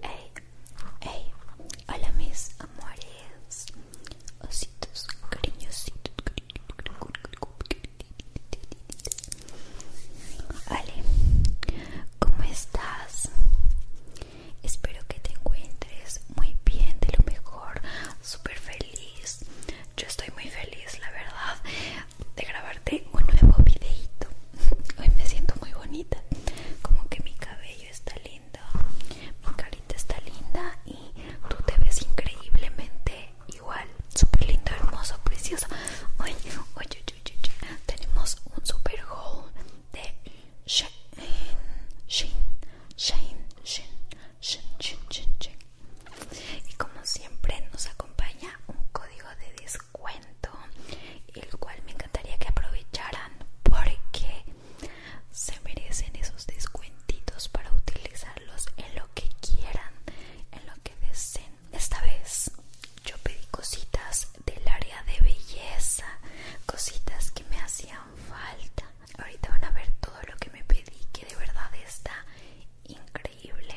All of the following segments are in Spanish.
Hey, hey, hola mis amores, ositos, cariñositos, Ale, ¿cómo estás? Espero que te encuentres muy bien, de lo mejor, súper feliz. Yo estoy muy feliz, la verdad, de grabarte un nuevo videito. Hoy me siento muy bonita como que mi cabello está lindo mi carita está linda y tú te ves increíblemente igual súper lindo hermoso precioso oye oye, tenemos un super haul de Shane Shane Shane y como siempre nos acompaña un código de descuento el cual me encantaría que aprovecharan porque se merecen esos descuentitos para utilizarlos en lo que quieran en lo que deseen esta vez yo pedí cositas del área de belleza cositas que me hacían falta ahorita van a ver todo lo que me pedí que de verdad está increíble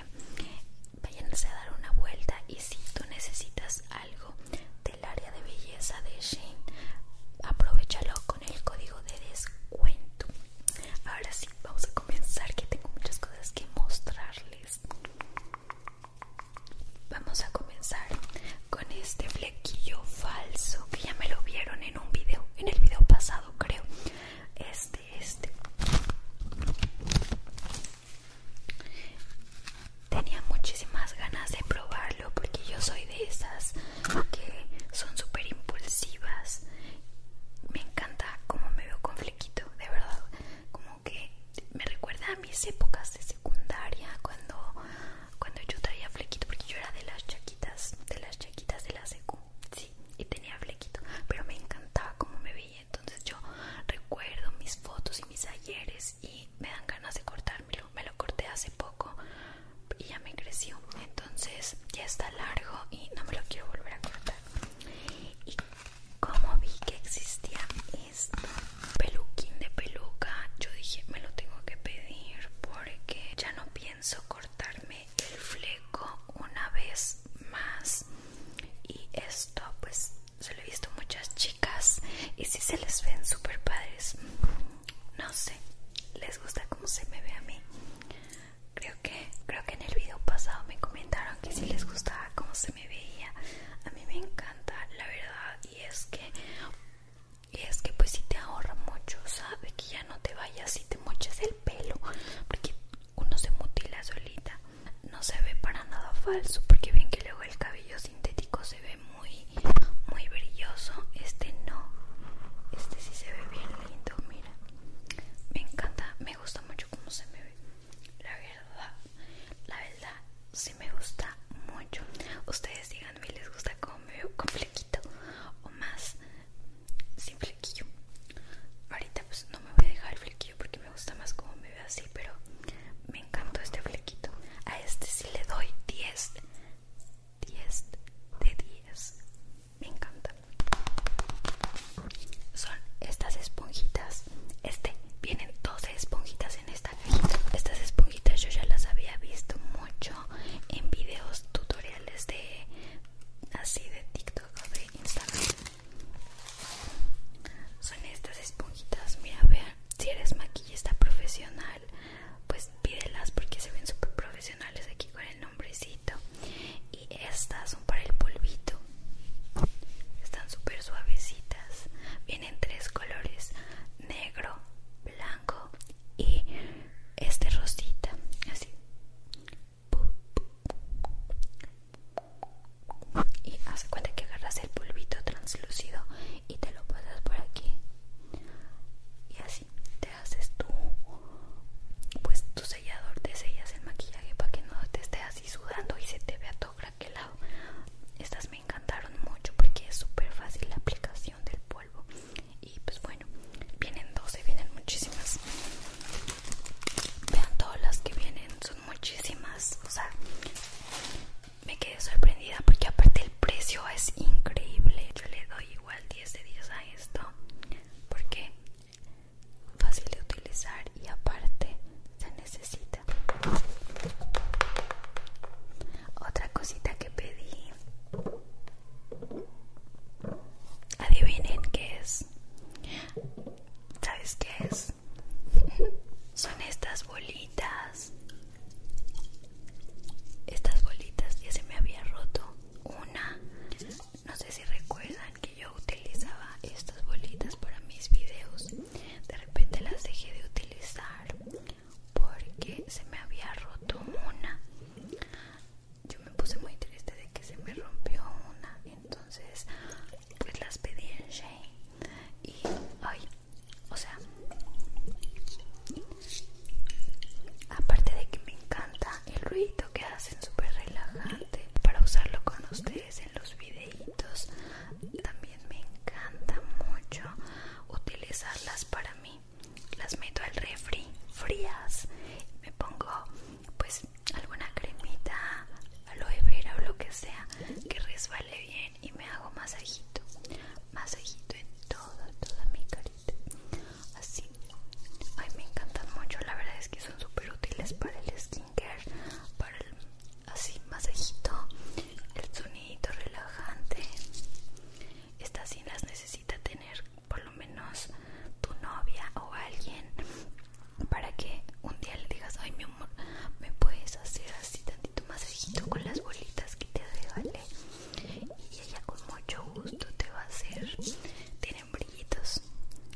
váyanse a dar una vuelta y si tú necesitas algo del área de belleza de Shane, aprovechalo con el código de descuento. Ahora sí, vamos a comenzar que tengo muchas cosas que mostrarles. Vamos a comenzar con este flequillo falso que ya me lo vieron en un video, en el video pasado creo. Este, este. Tenía muchísimas ganas de probarlo porque yo soy de esas que son súper impulsivas. Me encanta cómo me veo con flequito, de verdad. Como que me recuerda a mis épocas de secundaria cuando, cuando yo traía flequito porque yo era de las chaquitas, de las chaquitas de la secu. Sí, y tenía flequito, pero me encantaba cómo me veía. Entonces yo recuerdo mis fotos y mis ayeres y me dan ganas de cortármelo. Me lo corté hace poco y ya me creció. Entonces ya está largo y no me lo quiero volver a cortar. Y como vi que existía Este peluquín de peluca, yo dije me lo tengo que pedir porque ya no pienso cortarme el fleco una vez más. Y esto pues se lo he visto muchas chicas y si se les ven super padres no sé les gusta cómo se me ve a mí creo que creo que en el video pasado me comentaron que si les gustaba cómo se me veía a mí me encanta la verdad y es que es que pues si te ahorra mucho sabe que ya no te vayas y te moches el pelo porque uno se mutila solita no se ve para nada falso porque ven que luego el cabello sintético se ve muy muy brilloso este no este sí se ve bien lindo mira me encanta me gusta mucho cómo se me ve la verdad la verdad sí me gusta mucho ustedes digan díganme les gusta cómo me veo con flequito o más sin flequillo ahorita pues no me voy a dejar el flequillo porque me gusta más como me ve así, pero me encantó este flequito. A este sí le doy 10, 10 de 10. Me encanta. Son estas esponjitas. Este, vienen 12 esponjitas en esta cajita. Estas esponjitas yo ya las había visto mucho en videos tutoriales de así de TikTok o de Instagram son estas esponjitas mira vean si eres maquillista profesional pues pídelas porque se ven súper profesionales aquí con el nombrecito y estas son para el polvito están súper suavecitas vienen tres colores negro blanco y este rosita así y hace cuenta que agarras el polvito translúcido y te lo pasas por aquí y así te haces tu pues tu sellador de sellas el maquillaje para que no te esté así sudando y se te vea todo craquelado estas me encantaron mucho porque es súper fácil la aplicación del polvo y pues bueno vienen 12 vienen muchísimas vean todas las que vienen son muchísimas o sea me quedé sorprendida porque aparte el precio es increíble. Yo le doy igual 10 de 10 a esto porque fácil de utilizar y aparte se necesita. Otra cosita que pedí. Adivinen qué es. ¿Sabes qué es? son estas bolitas estas bolitas ya se me había roto una no sé si recuerdan que yo utilizaba estas bolitas para mis videos de repente las dejé de utilizar porque se me había roto una yo me puse muy triste de que se me rompió una entonces pues las pedí en Shane y ay o sea, aparte de que me encanta el ruido que hacen, súper relajante para usarlo con ustedes en los videitos, también me encanta mucho utilizarlas para mí. Las meto al refri frías, me pongo pues alguna cremita, aloe vera o lo que sea que resbale bien y me hago masajito, masajito en toda, toda mi carita, así. Ay, me encantan mucho, la verdad es que son súper útiles para el skincare, para el así masajito, el sonidito relajante. Estas sí las necesita tener por lo menos tu novia o alguien para que un día le digas, ay, me me puedes hacer así tantito más masajito con las bolitas que te vale. y ella con mucho gusto te va a hacer tienen brillitos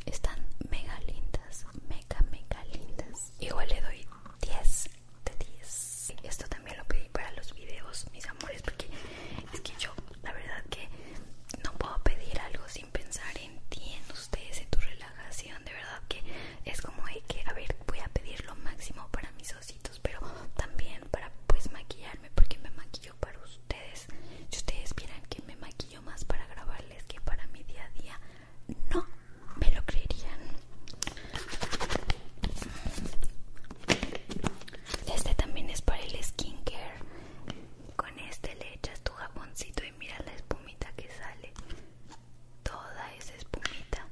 están mega lindas mega mega lindas igual le doy 10 de 10 esto también lo pedí para los videos mis amores porque es que yo la verdad que no puedo pedir algo sin pensar en ti en ustedes en tu relajación de verdad que es como hay que, a ver, voy a pedir lo máximo para mis ositos, pero también para pues maquillarme, porque me maquillo para ustedes. Si ustedes vieran que me maquillo más para grabarles que para mi día a día, no me lo creerían. Este también es para el skincare. Con este le echas tu jaboncito y mira la espumita que sale. Toda esa espumita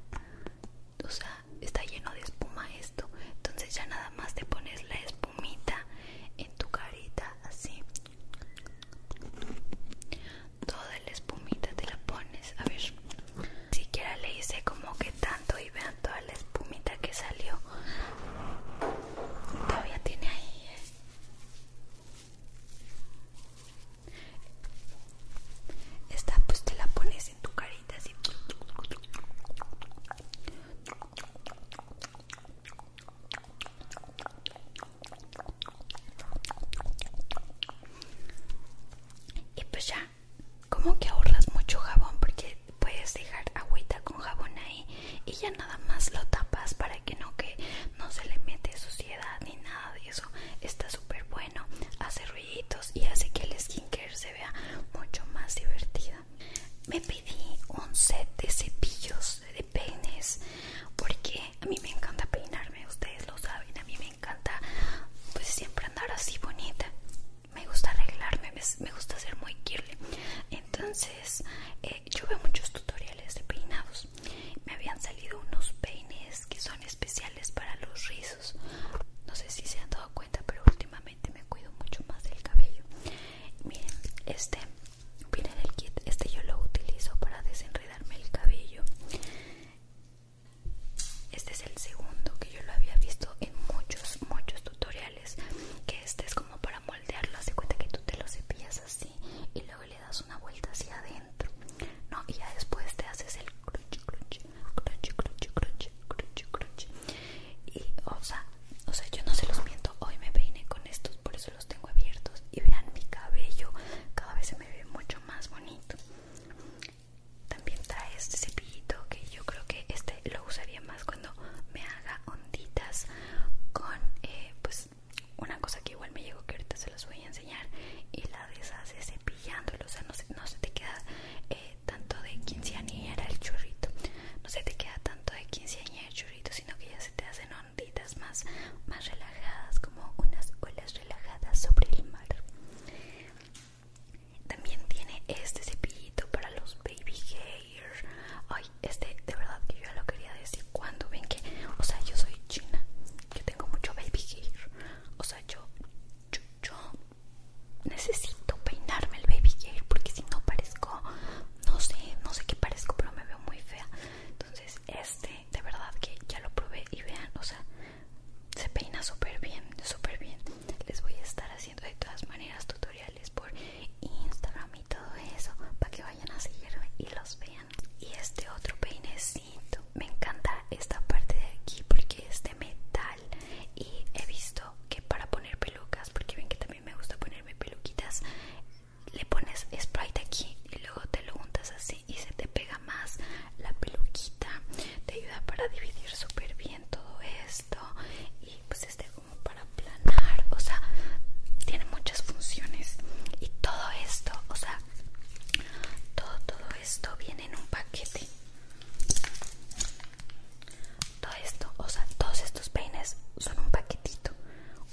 o sea, está lleno de espuma esto. Entonces ya nada más te pones la espumita en tu carita así. Toda la espumita te la pones. A ver, siquiera le hice como que tanto y vean toda la espumita que salió. Todavía tiene ahí. ¿eh? Esta pues te la pones en tu carita así. Y pues ya, como que ahorras mucho jabón porque puedes dejar agüita con jabón ahí y ya nada más lo tapas para que no que no se le mete suciedad ni nada de eso. Está súper bueno, hace ruido y hace que el skincare se vea mucho más divertida. Me pedí un set de cepillos de peines porque a mí me encanta peinarme, ustedes lo saben, a mí me encanta pues siempre andar así bonita. Me gusta arreglarme, me gusta ser muy girly. Entonces, eh, yo veo muchos tutoriales de peinados. Me habían salido unos peines que son especiales para los rizos no sé si se han dado cuenta pero últimamente me cuido mucho más del cabello miren este viene del kit este yo lo utilizo para desenredarme el cabello este es el segundo que yo lo había visto en muchos muchos tutoriales que este es como para moldearlo hace cuenta que tú te lo cepillas así y luego le das una vuelta hacia adentro no y ya después te haces el y, o sea, yo no se los miento. Hoy me peiné con estos, por eso los tengo abiertos. Y vean mi cabello, cada vez se me ve mucho más bonito. También trae este cepillito que yo creo que este lo usaría más cuando me haga onditas con, eh, pues, una cosa que igual me llegó que ahorita se los voy a enseñar. Y Hace cepillándolo, o sea, no se, no se te queda eh, tanto de quinceañera el churrito, no se te queda tanto de quinceañera el churrito, sino que ya se te hacen onditas más, más relajadas, como unas olas relajadas sobre el mar. También tiene este cepillito para los baby hair. Ay, este de verdad que yo lo quería decir cuando ven que, o sea, yo soy china, yo tengo mucho baby hair. O sea, yo yo, necesito peinarme el baby hair porque si no parezco, no sé, no sé qué parezco, pero me veo muy fea. Entonces este, de verdad que ya lo probé y vean, o sea, se peina súper bien, súper bien. Les voy a estar haciendo de todas maneras tutoriales por Instagram y todo eso para que vayan a seguirme y los vean. Y este otro peine es me encanta esta parte de aquí porque es de metal y he visto que para poner pelucas, porque ven que también me gusta ponerme peluquitas, le pones sprite aquí y luego te lo untas así y se te pega más la peluquita. Te ayuda para dividir súper bien todo esto y pues este como para planar, o sea, tiene muchas funciones y todo esto, o sea, todo todo esto viene en un paquete todo esto, o sea, todos estos peines son un paquetito,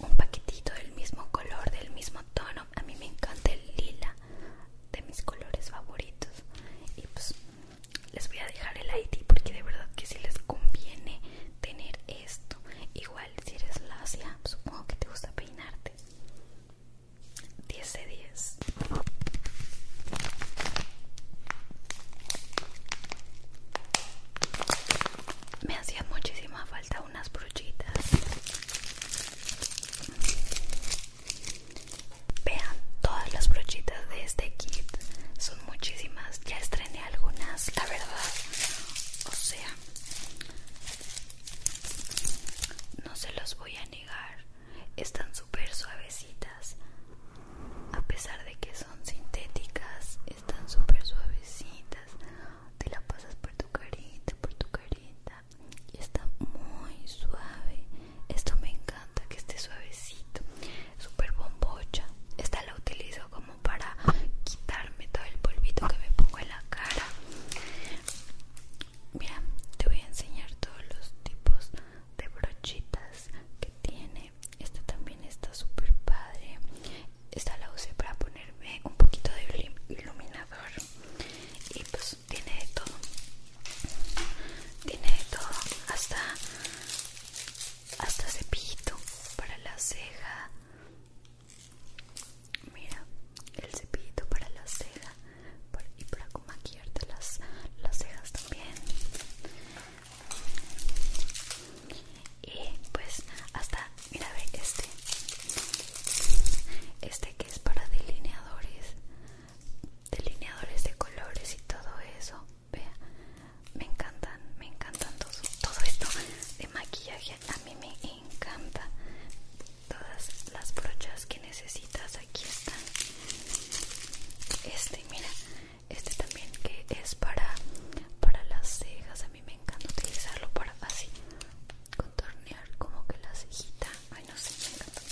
un paquetito del mismo color, del mismo tono. A mí me encanta el lila, de mis colores favoritos. Y pues les voy a dejar el ID porque de verdad que si les conviene tener esto. Igual si eres lacia, supongo que te gusta peinarte. 10 de 10 me hacían muchísima falta unas brochitas vean todas las brochitas de este kit son muchísimas ya estrené algunas la verdad o sea no se los voy a negar están súper suavecitas a pesar de que son sintéticas están súper suavecitas te la pasas por tu carita por tu carita y está muy suave esto me encanta que esté suavecito súper bombocha esta la utilizo como para quitarme todo el polvito que me pongo en la cara Mira, te voy a enseñar todos los tipos de brochitas que tiene. Esta también está super padre. Esta la usé para ponerme un poquito de iluminador. Y pues tiene de todo. Tiene de todo. Hasta, hasta cepillito para la ceja. Mira, el cepillito para la ceja y para maquillarte las, las cejas también y pues hasta mira ve este este que es para delineadores delineadores de colores y todo eso vea me encantan me encantan todo, todo esto de maquillaje a mí me encanta todas las brochas que necesito aquí están este mira este también que es para para las cejas a mí me encanta utilizarlo para así contornear como que la cejita ay no sé me encanta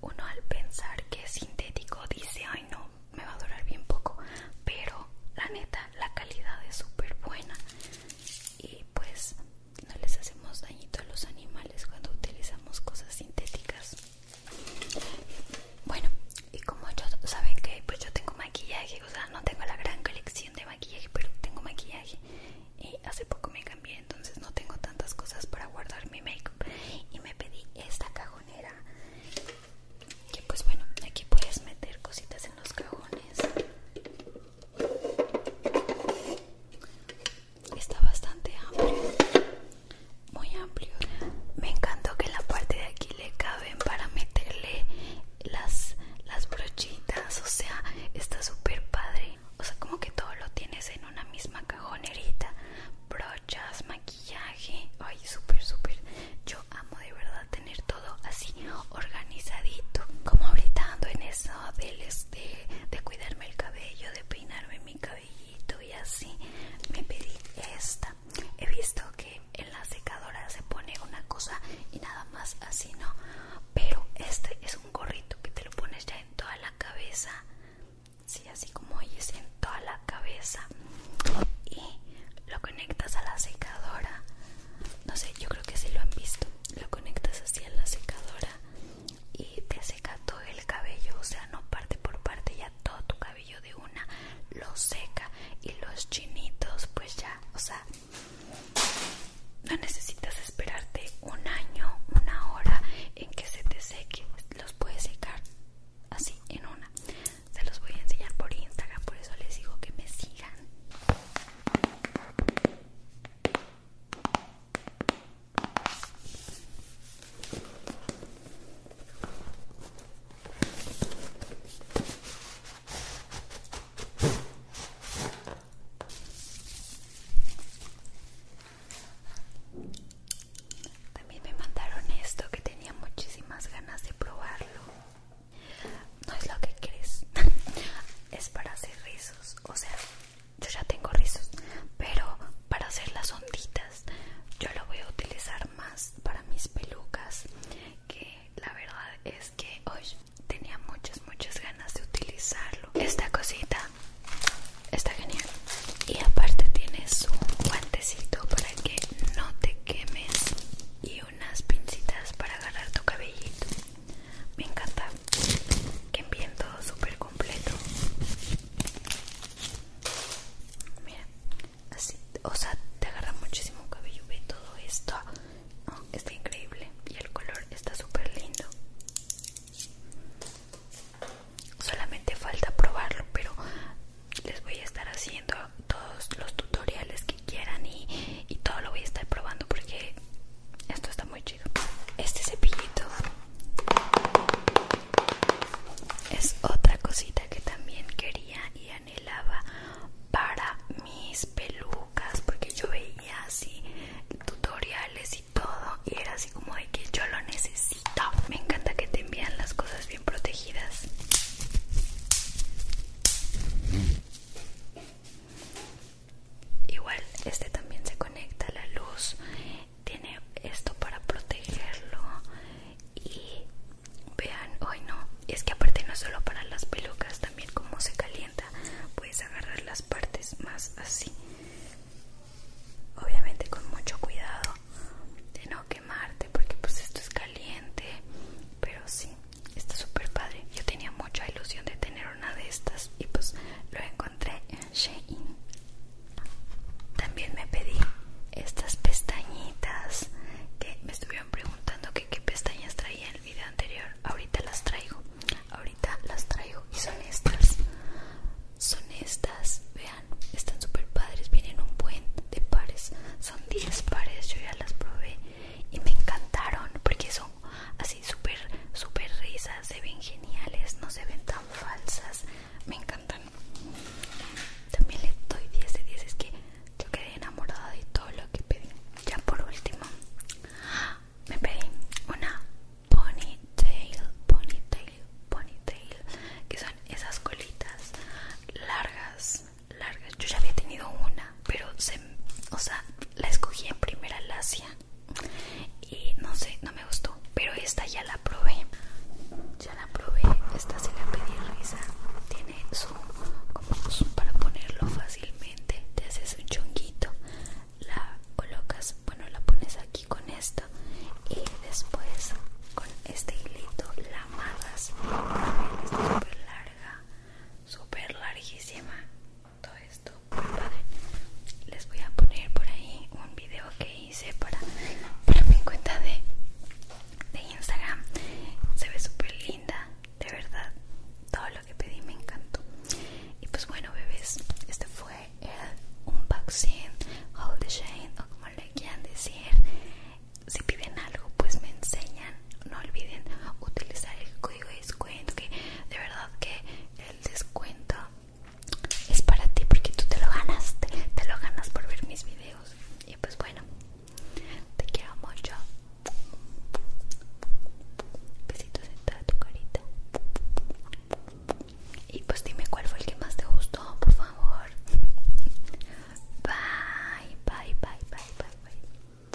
uno al pensar que es sintético dice ay no me va a durar bien poco pero la neta la calidad es súper buena y pues no les hacemos dañito a los animales cuando utilizamos cosas sintéticas bueno y como ellos saben que pues yo tengo maquillaje o sea no tengo la gran colección de maquillaje pero tengo maquillaje y hace poco me cambié entonces no tengo tantas cosas para guardar mi makeup y me pedí esta cajonera que pues bueno aquí puedes meter cositas en los cajones está bastante amplio muy amplio me encantó que en la parte de aquí le caben para meterle las, las brochitas o sea está súper padre o sea como que todo lo tienes en una misma cajonerita brochas maquillaje ay súper súper yo amo de verdad tener todo así organizadito como ahorita en eso del este, de cuidarme el cabello de peinarme mi cabellito y así me pedí esta he visto que en la secadora se pone una cosa y nada más así no pero este es un gorrito que te lo pones ya en toda la cabeza sí así como oyes en toda la cabeza y lo conectas a la secadora no sé yo creo que si sí lo han visto lo conectas así a la secadora y te seca todo el cabello, o sea, no parte por parte, ya todo tu cabello de una lo seca y los chinitos, pues ya, o sea, no necesitas esperarte un año, una hora en que se te seque, los puedes secar así en una. Se los voy a enseñar por Instagram, por eso les digo que me sigan. También me mandaron esto que tenía muchísimas ganas de probarlo. No es lo que crees. es para hacer rizos. O sea, yo ya tengo rizos pero para hacer las onditas yo lo voy a utilizar más para mis pelucas que la verdad es que hoy tenía muchas muchas ganas de utilizarlo esta cosita está genial y aparte tienes un guantecito para que no te quemes y unas pincitas para agarrar tu cabellito me encanta que envíen todo súper completo Mira, así, o sea, te agarra muchísimo cabello. Ve todo esto. está increíble. Y el color está súper lindo. Solamente falta probarlo, pero les voy a estar haciendo todos los tutoriales que quieran y, y todo lo voy a estar probando porque esto está muy chido. Este cepillito es otra cosita que también quería y anhelaba para mis pelucas, porque yo veía así tutoriales y todo, y era así como de que yo lo necesito. Me encanta que te envían las cosas bien protegidas. Igual, este también se conecta a la luz tiene esto para protegerlo y vean hoy no es que aparte no solo para las pelucas también como se calienta puedes agarrar las partes más así obviamente con mucho cuidado de no quemarte porque pues esto es caliente pero sí está súper padre yo tenía mucha ilusión de tener una de estas y pues lo encontré también me pedí estas pestañitas que me estuvieron preguntando que qué pestañas traía en el video anterior. Ahorita las traigo. Ahorita las traigo y son estas. Son estas, vean, están súper padres, vienen un buen de pares. Son 10 pares, yo ya las probé y me encantaron porque son así súper, súper risas, se ven geniales, no se ven tan falsas me encantan también le doy 10 de 10 es que yo quedé enamorada de todo lo que pedí ya por último me pedí una ponytail ponytail ponytail que son esas colitas largas largas yo ya había tenido una pero se o sea la escogí en primera lacia y no sé, no me gustó, pero esta ya la probé. Ya la probé, esta se la pedí risa. Tiene su, como para ponerlo fácilmente, te haces un chonguito, la colocas, bueno, la pones aquí con esto y después con este hilito la amarras. Está súper larga, súper larguísima. Todo esto, muy padre. Les voy a poner por ahí un video que hice para, mi cuenta de, Instagram. Se ve súper linda, de verdad. Todo lo que pedí me encantó. Y pues bueno, bebés, este fue el unboxing, all the Shine o como le quieran decir. Si piden algo, pues me enseñan. No olviden utilizar el código de descuento, que de verdad que el descuento es para ti porque tú te lo ganas, te, lo ganas por ver mis videos. Y pues bueno, te quiero mucho. Besitos en toda tu carita. Y pues dime cuál fue el que más te gustó, por favor. bye, bye, bye, bye, bye.